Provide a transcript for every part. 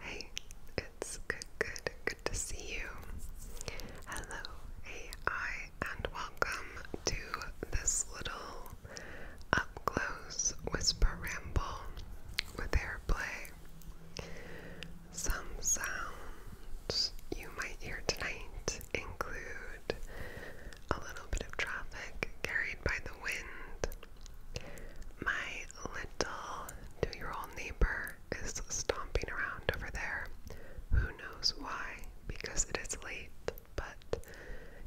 Hey, it's good, good, good to see you. Hello, AI, and welcome to this little up whisper ramble with airplay. Some sounds you might hear tonight include a little bit of traffic carried by the wind. My little two year old neighbor is stomping around over there. Who knows why? Because it is late, but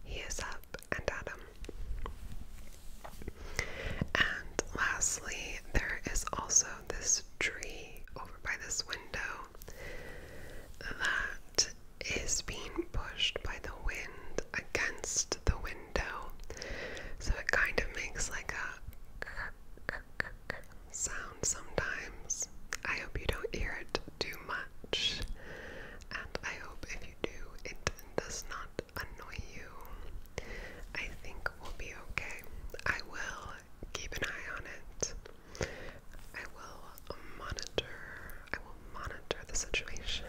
he is up and at And lastly, there is also this tree over by this window that is being pushed by the wind against the window. So it kind of makes like a sound sometimes. I hope you don't hear it too much. And I hope if you do, it does not annoy you. I think we'll be okay. I will keep an eye on it. I will monitor. I will monitor the situation.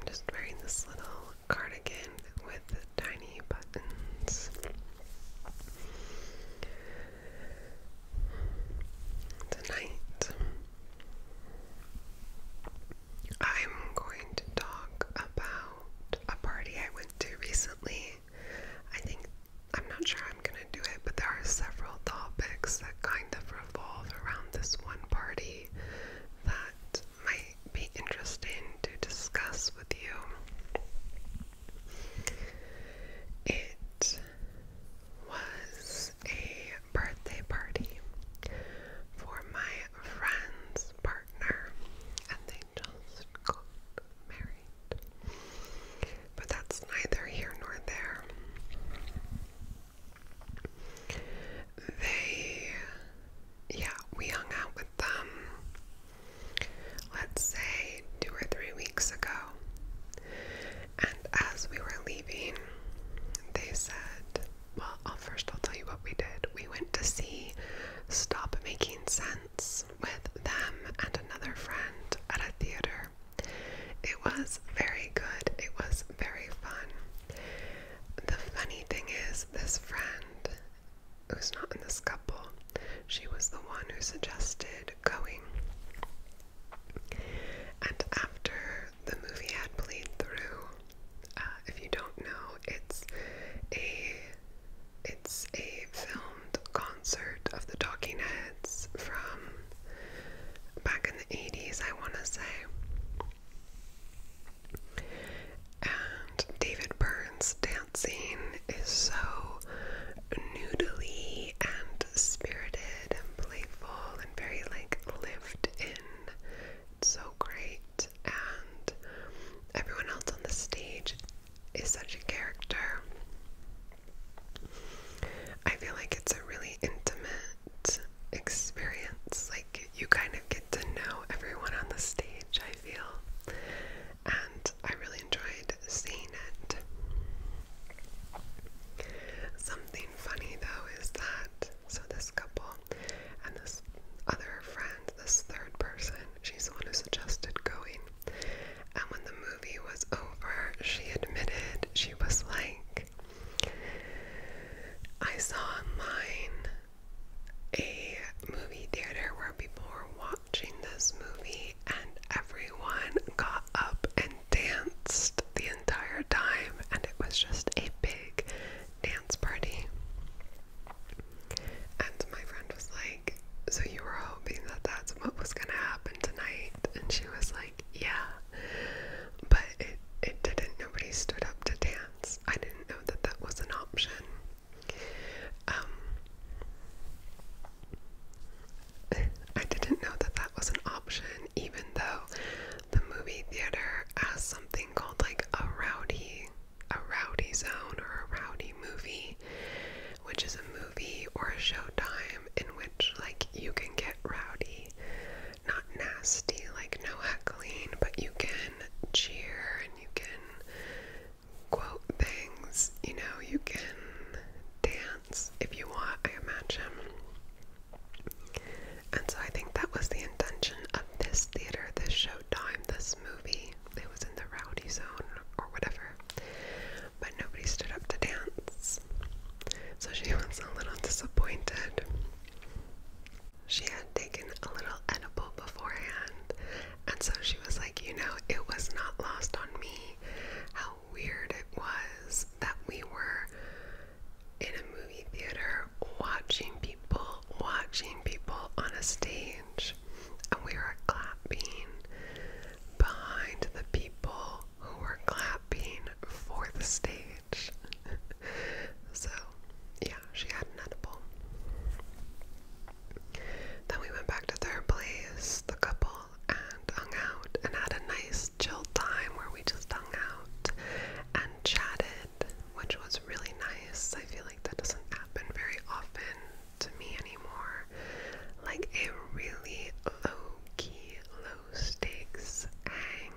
I'm just wearing this little cardigan with tiny buttons. Tonight, I'm going to talk about a party I went to recently. I think I'm not sure I'm gonna do it, but there are several topics that kind of revolve around this one party that might be interesting to discuss with you. It was a birthday party for my friend's partner, and they just got married. But that's neither here nor there. They, yeah, we hung out with them, let's say, two or three weeks ago. And as we were leaving, they said, Well, I'll first I'll tell you what we did. We went to see Stop Making Sense with them and another friend at a theater. It was very good, it was very fun. The funny thing is, this friend who's not in this couple, she was the one who suggested going. And after the movie had played through, uh, if you don't know, it's a it's a filmed concert of the Talking Heads from back in the 80s, I want to say. And David Burns' dancing is so noodly and spirited and playful and very like lived in. so great. And everyone else on the stage is such a character. I feel like it's a really intimate experience. Like, you kind of get to know everyone on the stage, I feel. And I really enjoyed seeing it. Something funny though is that, so this couple and this other friend, this third person, she's the one who suggested going. And when the movie was over, she admitted she was like, I saw online a movie theater where people were watching this movie and everyone got up and danced the entire time, and it was just a big dance party. And my friend was like, So you were hoping that that's what was gonna happen tonight? And she was like yeah. But it, it didn't, nobody stood up to dance. I didn't know that that was an option. Um, I didn't know that that was an option, even though the movie theater has something called like a rowdy, a rowdy zone or a rowdy movie, which is a movie or a showtime in which like you can get rowdy not nasty, like no heckling, but you can cheer and you can quote things, you know, you can dance if you want, I imagine. And so I think that was the intention of this theater, this showtime, this movie. It was in the rowdy zone or whatever. But nobody stood up to dance. So she was a little disappointed. She had taken a little edible beforehand, and so she was like, You know, it was not lost on me how weird it was that we were in a movie theater watching people, watching people on a stage, and we were clapping behind the people who were clapping for the stage. so, yeah, she had an edible. Then we went back to third place, the couple, and hung out and had a nice chill time where we just hung out and chatted, which was really nice. I feel like that doesn't happen very often to me anymore. Like a really low key, stakes hang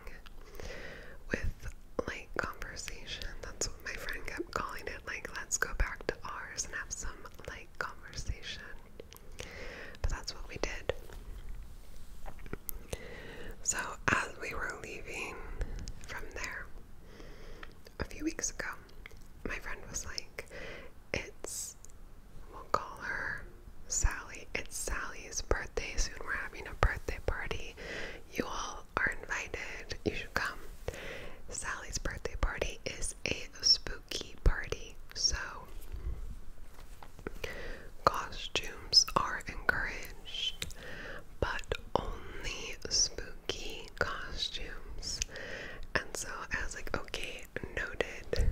with like conversation. That's what my friend kept calling it. Like, let's go back to ours and have some like conversation. But that's what we did. So, as we were leaving from there a few weeks ago, my friend was like, It's, we'll call her Sally. It's Sally's birthday soon. We're having a birthday party. You all are invited. You should come. Sally's birthday party is a spooky party, so costumes are encouraged, but only spooky costumes. And so I was like, okay, noted.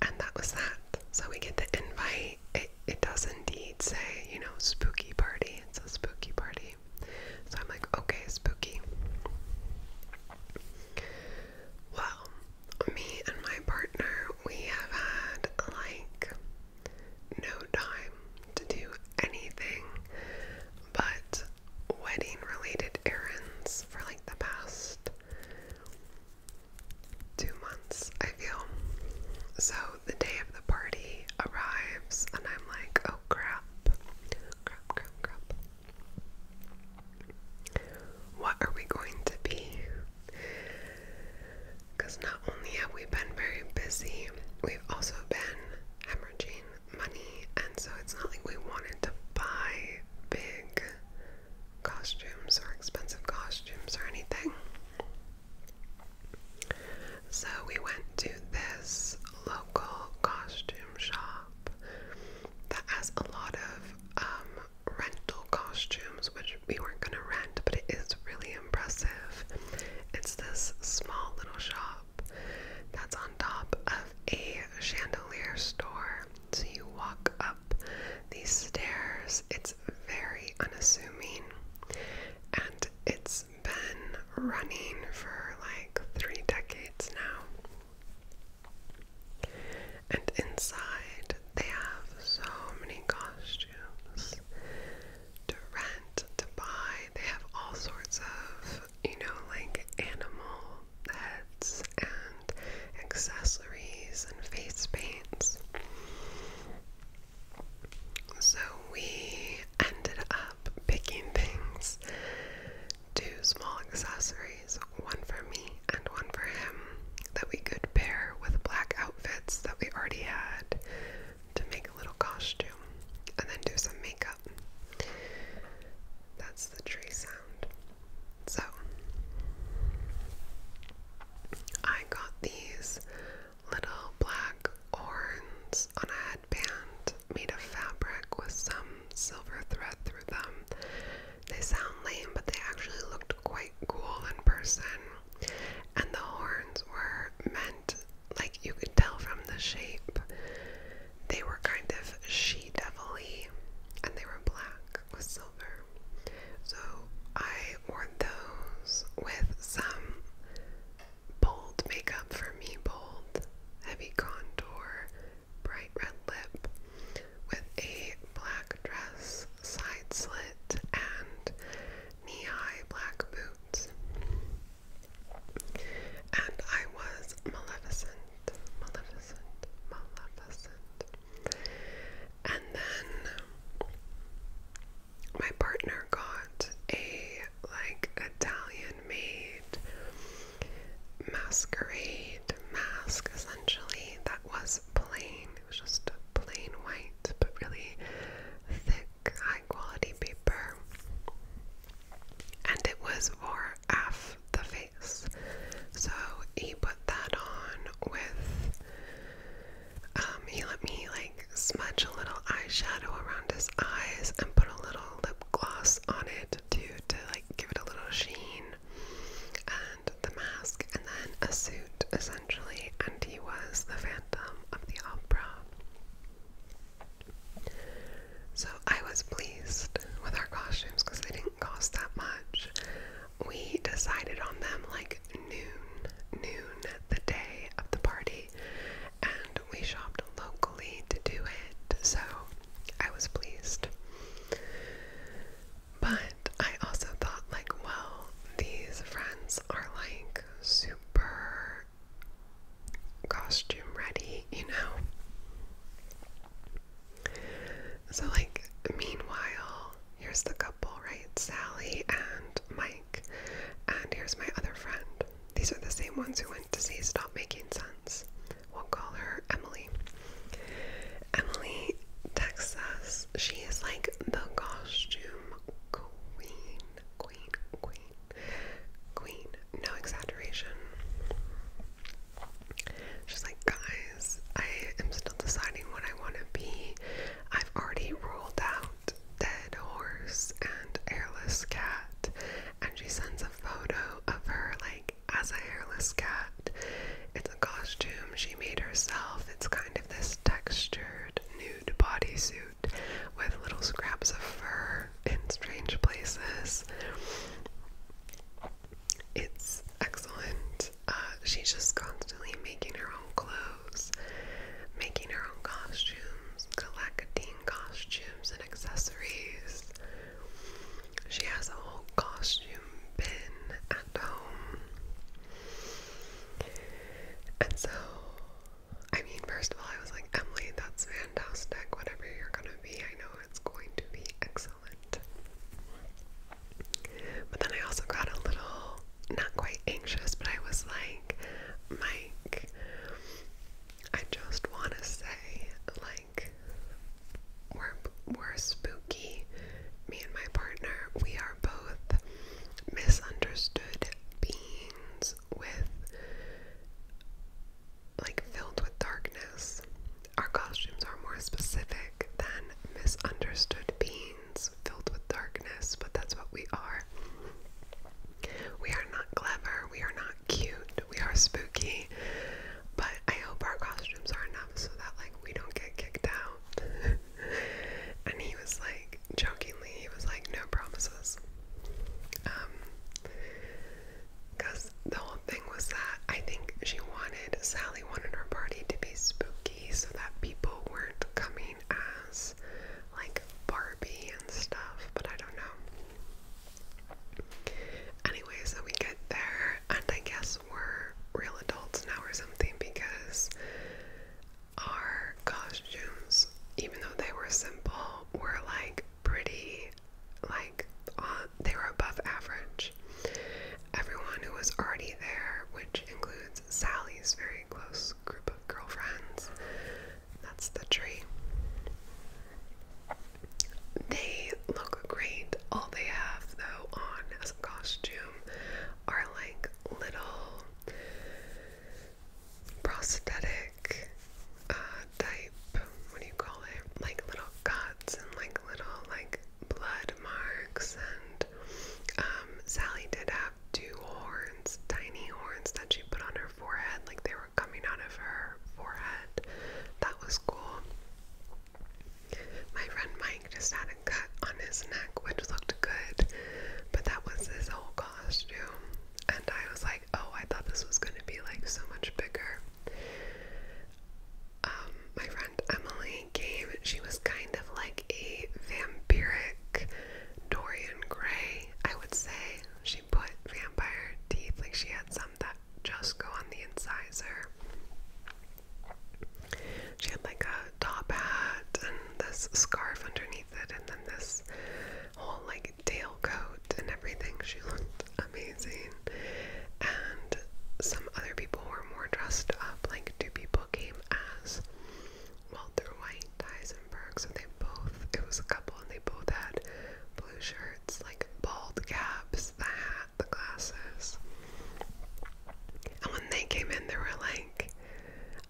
And that was that. So we get the invite. It, it does indeed say, you know, spooky party. It's a spooky party. So I'm like, okay, spooky. Well, me and my partner, we have had like no time to do anything but wedding related errands for like the past two months, I feel. So the day of the party arrives, and I'm like, oh crap, crap, crap, crap. What are we going to be? Because not only have we been very busy, we've also been hemorrhaging money, and so it's not like we wanted to buy big costumes or expensive costumes or anything. So we went to this local costume shop that has a lot of um, rental costumes, which we weren't going to rent, but it is really impressive. It's this small little shop that's on top of a chandelier store. So you walk up these stairs, it's very unassuming and it's been running for like three decades now. And inside, they have so many costumes to rent, to buy. They have all sorts of, you know, like animal heads and accessories and face paints. So we ended up picking things two small accessories, one for me and one for him, that we could pair with black outfits that we already had to make a little costume and then do some makeup. That's the tree sound. So I got these little black horns on a headband made of fabric with some silver thread through them. They sound lame, but they actually looked quite cool in person. And the horns were meant, like you could tell from the shape, they were kind of she devil y, and they were black black with silver. So I wore those with some bold makeup for me, bold, heavy contour, bright red lip, with a black dress, side slit, and knee high black boots. And I was Maleficent, Maleficent, Maleficent. And then my partner got a like Italian made masquerade mask essentially that was plain. It was just plain white but really thick, high quality paper. And it was for half the face. So he put that on with um, he let me like smudge a little eyeshadow around his eyes and put a little lip gloss on it to to like give it a little sheen and the mask and then a suit essentially and he was the phantom of the opera. So I was pleased with our costumes because they didn't cost that much we decided on them like noon, noon the day of the party, and we shopped locally to do it, so I was pleased. But I also thought, like, well, these friends are like super costume ready, you know? So, like, meanwhile, here's the couple, right? Sally and Mike. And here's my other friend. These are the same ones who went to see Stop Making Sense. We'll call her Emily. Emily texts us. She is like the costume queen. Queen, queen, queen. No exaggeration. She's like, guys. I am still deciding what I want to be. I've already ruled out dead horse and hairless cat, and she sends a photo of her like as a hairless cat. It's a costume she made herself. It's kind of this textured nude bodysuit with little scraps of fur in strange places. It's excellent. Uh, she's just constantly making her own clothes, making her own costumes, collecting costumes and accessories. She has a whole costume bin at home. And so, I mean, first of all, I was like, Emily, that's fantastic. Whatever you're gonna be, I know it's going to be excellent. But then I also got a little, not quite anxious, but I was like, Mike, I just want to say, like, we're, we're spooky. Me and my partner, we are both misunderstood beings with, like, filled with darkness. Our costumes are more specific than misunderstood beings filled with darkness, but that's what we are. We are not clever, we are not cute, we are spooky, but I hope our costumes are enough so that, like, we don't get kicked out. and he was like, jokingly, he was like, no promises. Um, because the whole thing was that I think she wanted, Sally wanted her party to be spooky quirky so that people weren't coming as like Barbie and stuff, but I don't know. Anyway, so we get there, and I guess we're real adults now or something because our costumes, even though they were simple, were like pretty, like, on, they were above average. Everyone who was already there, which includes Sally's very close group of girlfriends, that's the tree. They look great. All they have, though, on as a costume are like little prosthetic uh, type, what do you call it? Like little cuts and like little like blood marks, and um, Sally did have two horns, tiny horns that she put on her forehead, like they were coming out of her forehead. That was cool. My friend Mike just had a cut on his neck, which looked good, but that was his whole costume. And I was like, oh, I thought this was going to be like so much bigger. Um, my friend Emily gave, she was kind of like a vampiric Dorian Gray, I would say. She put vampire teeth, like she had some that just go on the incisor. She had like a top hat and this scarf underneath it, and then this whole like tail coat and everything. She looked amazing. And some other people were were more dressed up. Like two people came as Walter White, Heisenberg. So they both, it was a couple, and they both had blue shirts, like bald caps, the hat, the glasses. And when they came in, they were like,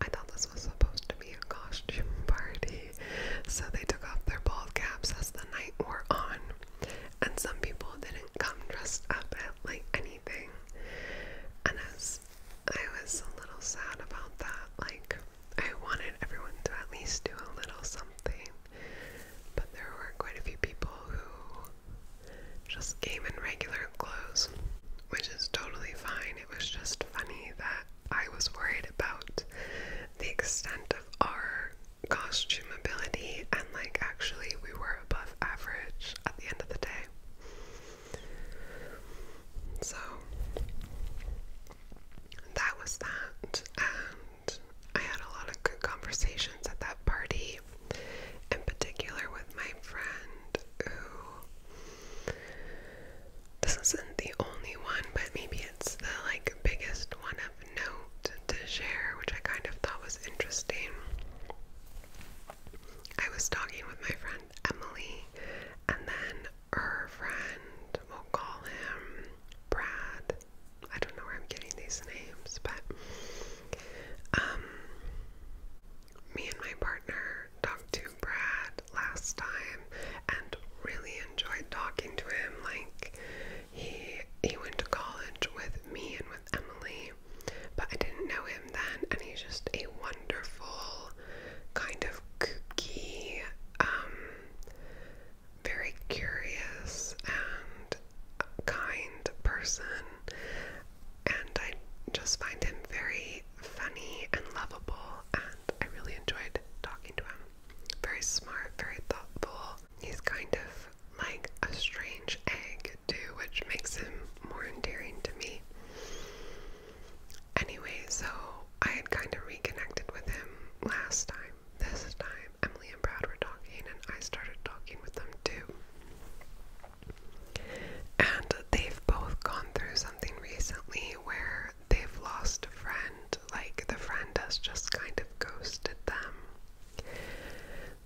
I thought this was supposed to be a costume party. So they took off their bald caps as the night wore on and some people didn't come dressed up at like anything. And as I was a little sad about that, like I wanted everyone to at least do a little something. But there were quite a few people who just came in regular clothes, which is totally fine. It was just funny that I was worried about the extent of our costume ability, and like actually, we were above average at the end of the day. So that was that, and I had a lot of good conversations at that party, in particular with my friend who this isn't the only one, but maybe it's the like biggest one of note to share, which I kind of thought was interesting. I was talking with my friend Emily, and then her friend, we'll call him Brad. I don't know where I'm getting these names, but um, me and my partner talked to Brad last time and really enjoyed talking to him. Like he he went to college with me and with Emily, but I didn't know him then, and he's just a wonderful, kind of kooky, um, very curious and kind person, and I just find him very funny and lovable, and I really enjoyed talking to him. Very smart, very thoughtful. He's kind of like a strange egg too, which makes him more endearing to me. Anyway, so I had kind of reconnected with him last time. This time, Emily and Brad were talking, and I started talking with them too. And they've both gone through something recently where they've lost a friend, like the friend has just kind of ghosted them.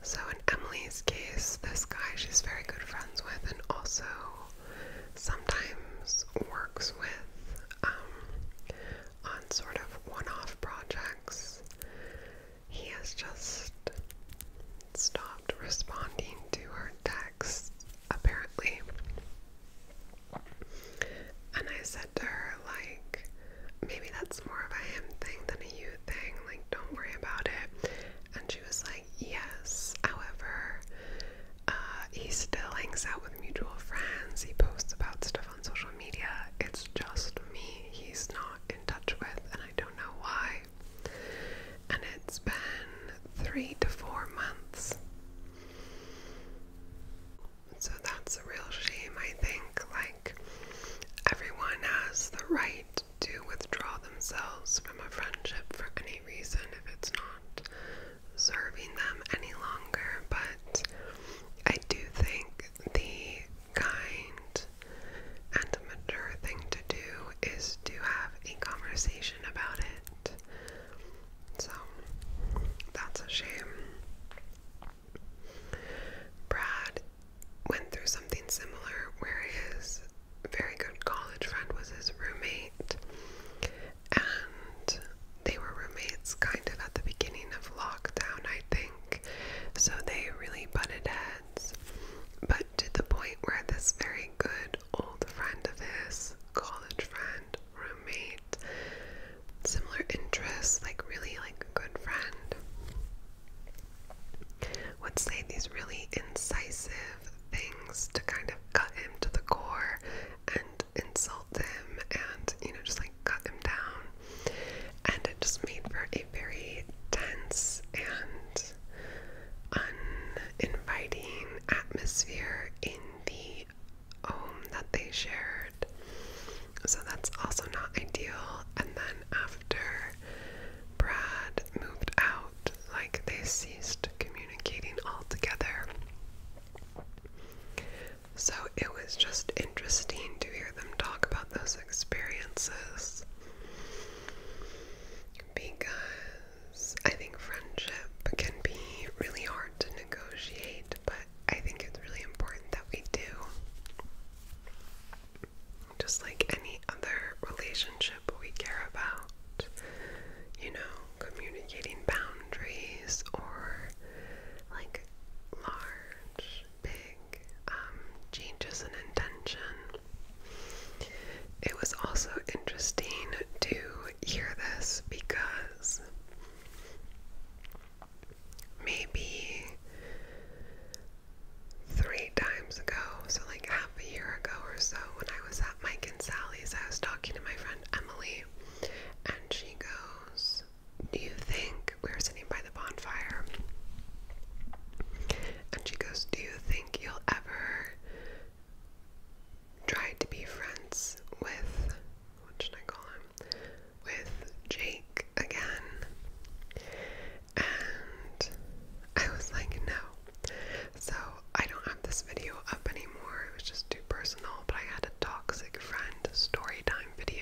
So, in Emily's case, this guy she's very good friends with and also sometimes works with um, on sort of one off projects, he has just stopped responding to her texts, apparently. And I said to her, like, maybe that's more of a him thing than a you thing. Like, don't worry about it. And she was like, yes. However, uh, he still hangs out with mutual friends. He posts about stuff on social media. It's just me he's not in touch with, and I don't know why. And it's been three to four months. So that's a real shame, I think. Like, everyone has the right to withdraw themselves from a friendship for any reason if it's not serving them any longer. But I do think the kind and mature thing to do is to have a conversation about it. So that's a shame. Brad went through something similar where his very good college friend was his roommate, and they were roommates kind of at the beginning of lockdown, I think. So they really butted heads, but to the point where this very good old friend of his, college friend, roommate, similar interests, like really like a good friend, would say these really incisive things to kind of cut him to the core and insult him and, you know, just like cut him down. And it just made for a very tense and uninviting atmosphere in the home that they shared. So that's also not ideal. And then after Brad moved out, like they ceased communicating altogether. So it was just interesting to hear them talk about those experiences because I think friendship can be really hard to negotiate, but I think it's really important that we do just like any other relationship we care about. You know, communicating boundaries or like large, big um, changes in intention. It was also interesting to hear this because maybe three times ago, so like half a year ago or so, when I was at Mike and Sally's, I was talking to my friend Emily, and she goes, Do you think we were sitting by the bonfire? And she goes, Do you think you'll ever try to be friends with what should I call him? With Jake again? and I was like, no. So I don't have this video up anymore. It was just too personal, but I had a toxic friend story time video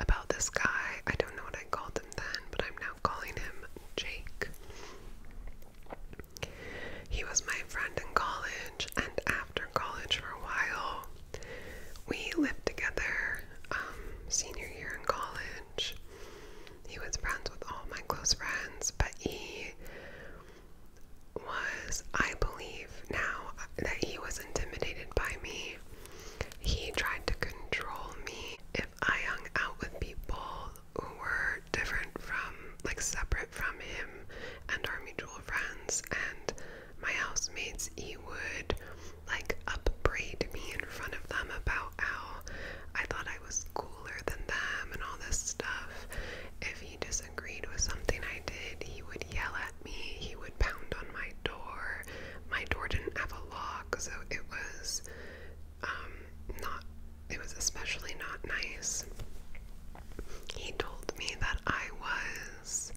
about this guy. I don't know what I called him then, but I'm now calling him Jake. He was my friend in college, and after college for a while, we lived together um, senior year in college. He was friends with all my close friends, but he was, I believe now, that he was intimidated by me. He tried to control me. If I hung out with people who were different from, like separate from him and our mutual friends and my housemates, he would like upbraid me in front of them about how I thought I was cooler than them and all this stuff. If he disagreed with something I did, he would yell at me, he would pound on my door. My door didn't have a lock, so it was um not it was especially not nice. He told me that I was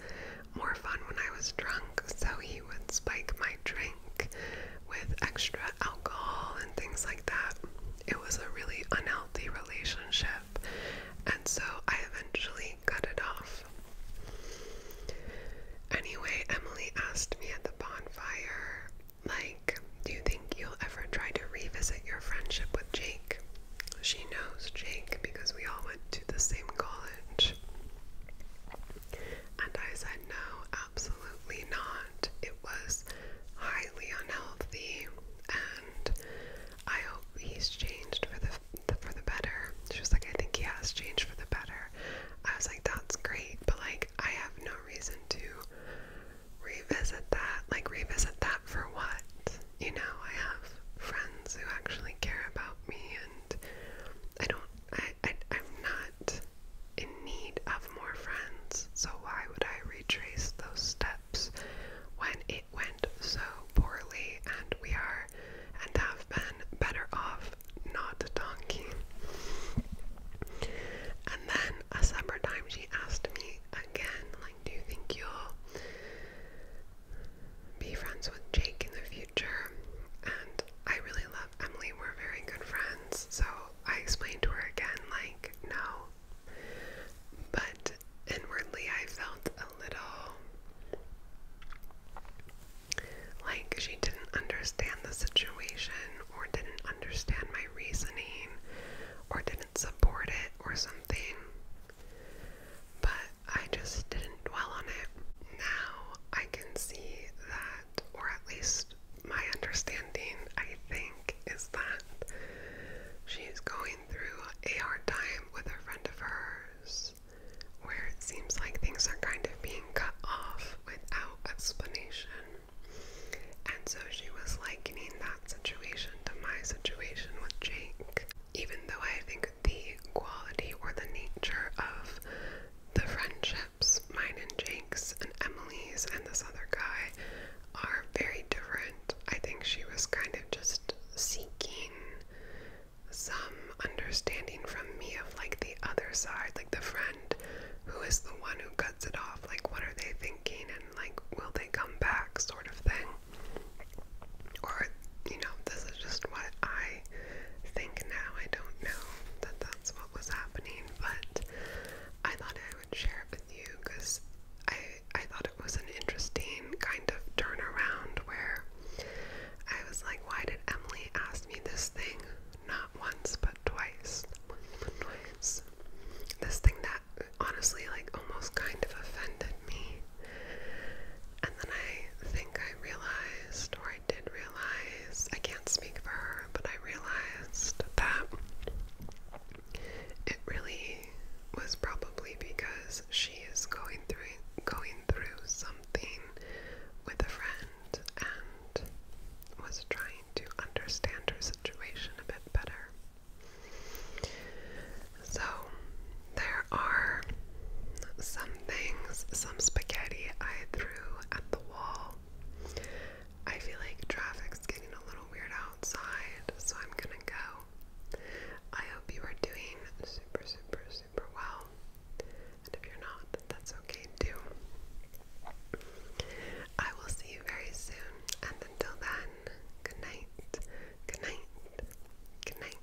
more fun when I was drunk, so he would spike my drink with extra alcohol and things like that. It was a really unhealthy relationship, and so I eventually cut it off. Anyway, Emily asked me at the bonfire, like, do you think you'll ever try to revisit your friendship with Jake? She knows Jake because we all went to the same college. And I said, No, absolutely not. It was highly unhealthy, and I hope he's changed for the for the better. She was like, I think he has changed for the better. I was like, That's great, but like, I have no reason to revisit that. Like, revisit that for what? You know, I have friends who actually care about me, and I don't I, I, am not in need of more friends, so why would I retrace those steps when it went so poorly and we are and have been better off not talking? And then a summer time she asked me again, like, do you think you'll be friends with Jake in the future? future. And I really love Emily. We're very good friends. So I explained to her again, like, no. But inwardly, I felt a little like she didn't understand the situation or didn't understand my reasoning or didn't support it or something. But I just didn't dwell on it. Now I can see that, or at least my understanding, I think, is that she's going through a hard time with a friend of hers where it seems like things are kind of being cut off without explanation. And so she was likening that situation to my situation with Jake, even though I think the quality or the nature of the friendships, mine and Jake's and Emily's and this other guy, are very different. I think she was kind of just seeking some understanding from me of like the other side, like the friend who is the one who cuts it off, like what are they thinking and like will they come back, sort of thing. Or, you know, this is just what I think now. I don't know that that's what was happening, but I thought I would share it with you because I I thought it was an interesting kind of turnaround where I was like, why did Emily ask me this thing not once but twice? This thing that honestly like almost kind of offended me. And then I think I realized, or I did realize, I can't speak for her, but I realized that it really was probably because she is going through going through something with a friend and was trying to understand her situation a bit better. So there are some things, some spaghetti I threw at the wall. I feel like traffic's getting a little weird outside, so I'm gonna go. I hope you are doing super, super, super well. And if you're not, that's okay too. I will see you very soon, and until then, good night, good night, good night.